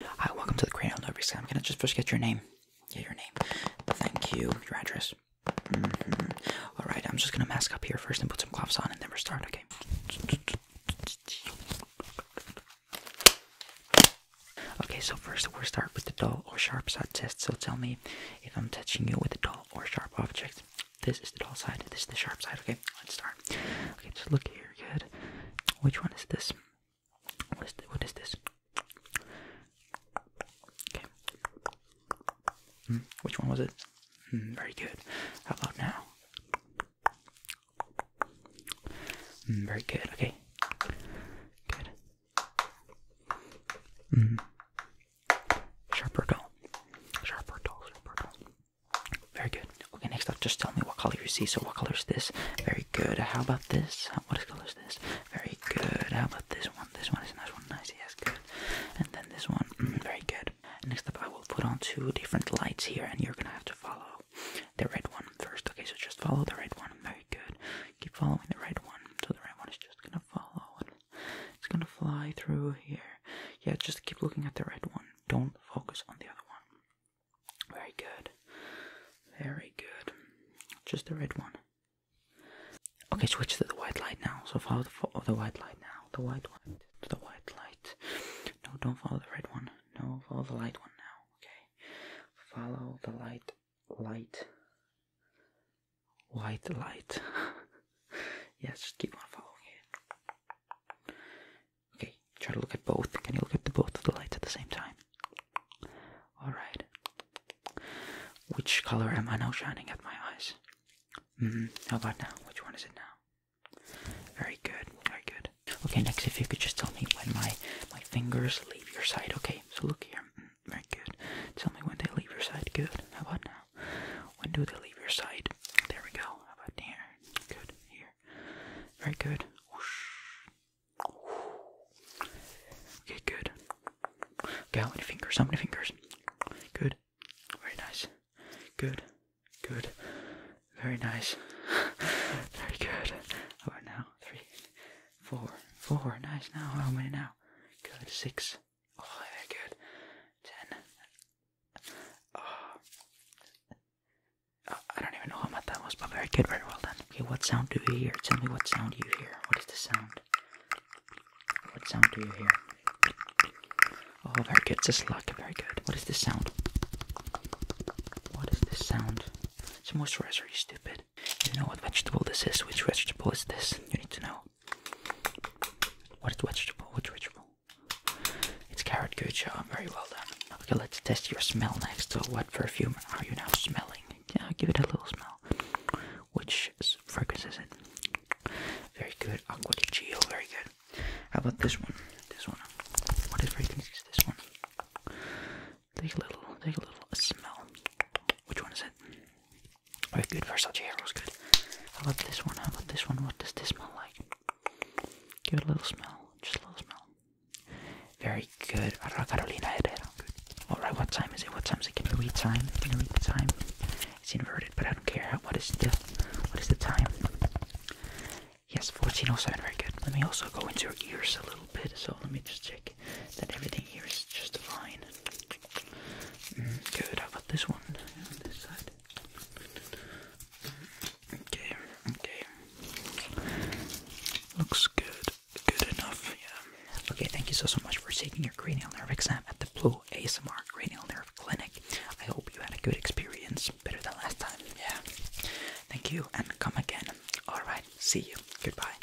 Hi, welcome to the Crayon Library. I'm gonna just first get your name. Yeah, your name. Thank you. Your address. Mm-hmm. All right, I'm just gonna mask up here first and put some gloves on, and then we'll start. Okay. Okay, so first we'll start with the dull or sharp side test. So tell me if I'm touching you with a dull or sharp object. This is the dull side, this is the sharp side. Okay, let's start. Okay, just look here. Good. Which one is this? What is, this? Okay. Hmm, which one was it? Hmm, very good. How about now? Hmm, very good. Okay. Good. Mm. Sharper dull. Sharper dull. Sharper dull. Very good. Okay, next up, just tell me what color you see. So, what color is this? Very good. How about this? How, what color is this? Very good. How about this one? This one is nice one. Nice. Yes, good. And then this one. Mm, very good. Next up, I will put on two different lights here, and you're gonna have to follow the red one first. Okay, so just follow the red one. Very good. Keep following the red one. So the red one is just gonna follow, it's gonna fly through here. Yeah, just keep looking at the red one. Don't focus on the other one. Very good. Very good. Just the red one. Okay, switch to the white light now. So follow the, white light now. The white light. To the white light. No, don't follow the red one. No, follow the light one now. Okay. Follow the light. Light. White light. yes, just keep on following it. Okay, try to look at both. Can you look at the both of the lights at the same time? Alright. Which color am I now shining at my eyes? -hmm. How about now? Which one is it now? Very good, very good. Okay, next if you could just tell me when my, my fingers leave your side. Okay, so look here. Mm, very good. Tell me when they leave your side. Good. How about now? When do they leave your side? There we go. How about here? there. Good. Here. Very good. Okay, good. Okay, how many fingers? How many fingers? Good. Very nice. Good. Good. Very nice. Very good. How about now? Three. Four. Four. Nice. Now, how many now? Good. Six. Oh, very good. Ten. Uh, I don't even know how much that was, but very good, very well done. Okay, what sound do you hear? Tell me what sound you hear. What is the sound? What sound do you hear? Oh, very good. It's a slug. Very good. What is this sound? What is this sound? It's a moisturizer, you stupid. You know what vegetable this is. Which vegetable is this? You need to know. What is vegetable? What vegetable? It's carrot gucha. Very well done. Okay, let's test your smell next. So, what perfume are you now smelling? Yeah, give it a little smell. Which fragrance is it? Very good. Aqua di Gio. Very good. How about this one? This one. What is fragrance is this one? Take a little. Take a little smell. Which one is it? Very good, Versacero's good. How about this one, How about this one. What does this smell like? Give it a little smell, just a little smell. Very good, Carolina Herrera. Alright, what time is it? What time is it? Can you read time? Can you read the time? It's inverted, but I don't care. What is the what is the time? Yes, 1407, very good. Let me also go into your ears a little bit, so let me just check that everything here is just fine. Mm, good, how about this one on this side? Okay, okay. Looks good, good enough, yeah. Okay, thank you so, so much for taking your cranial nerve exam at the Blue ASMR Cranial Nerve Clinic. I hope you had a good experience, better than last time, yeah. Thank you, and come again. Alright, see you. Goodbye.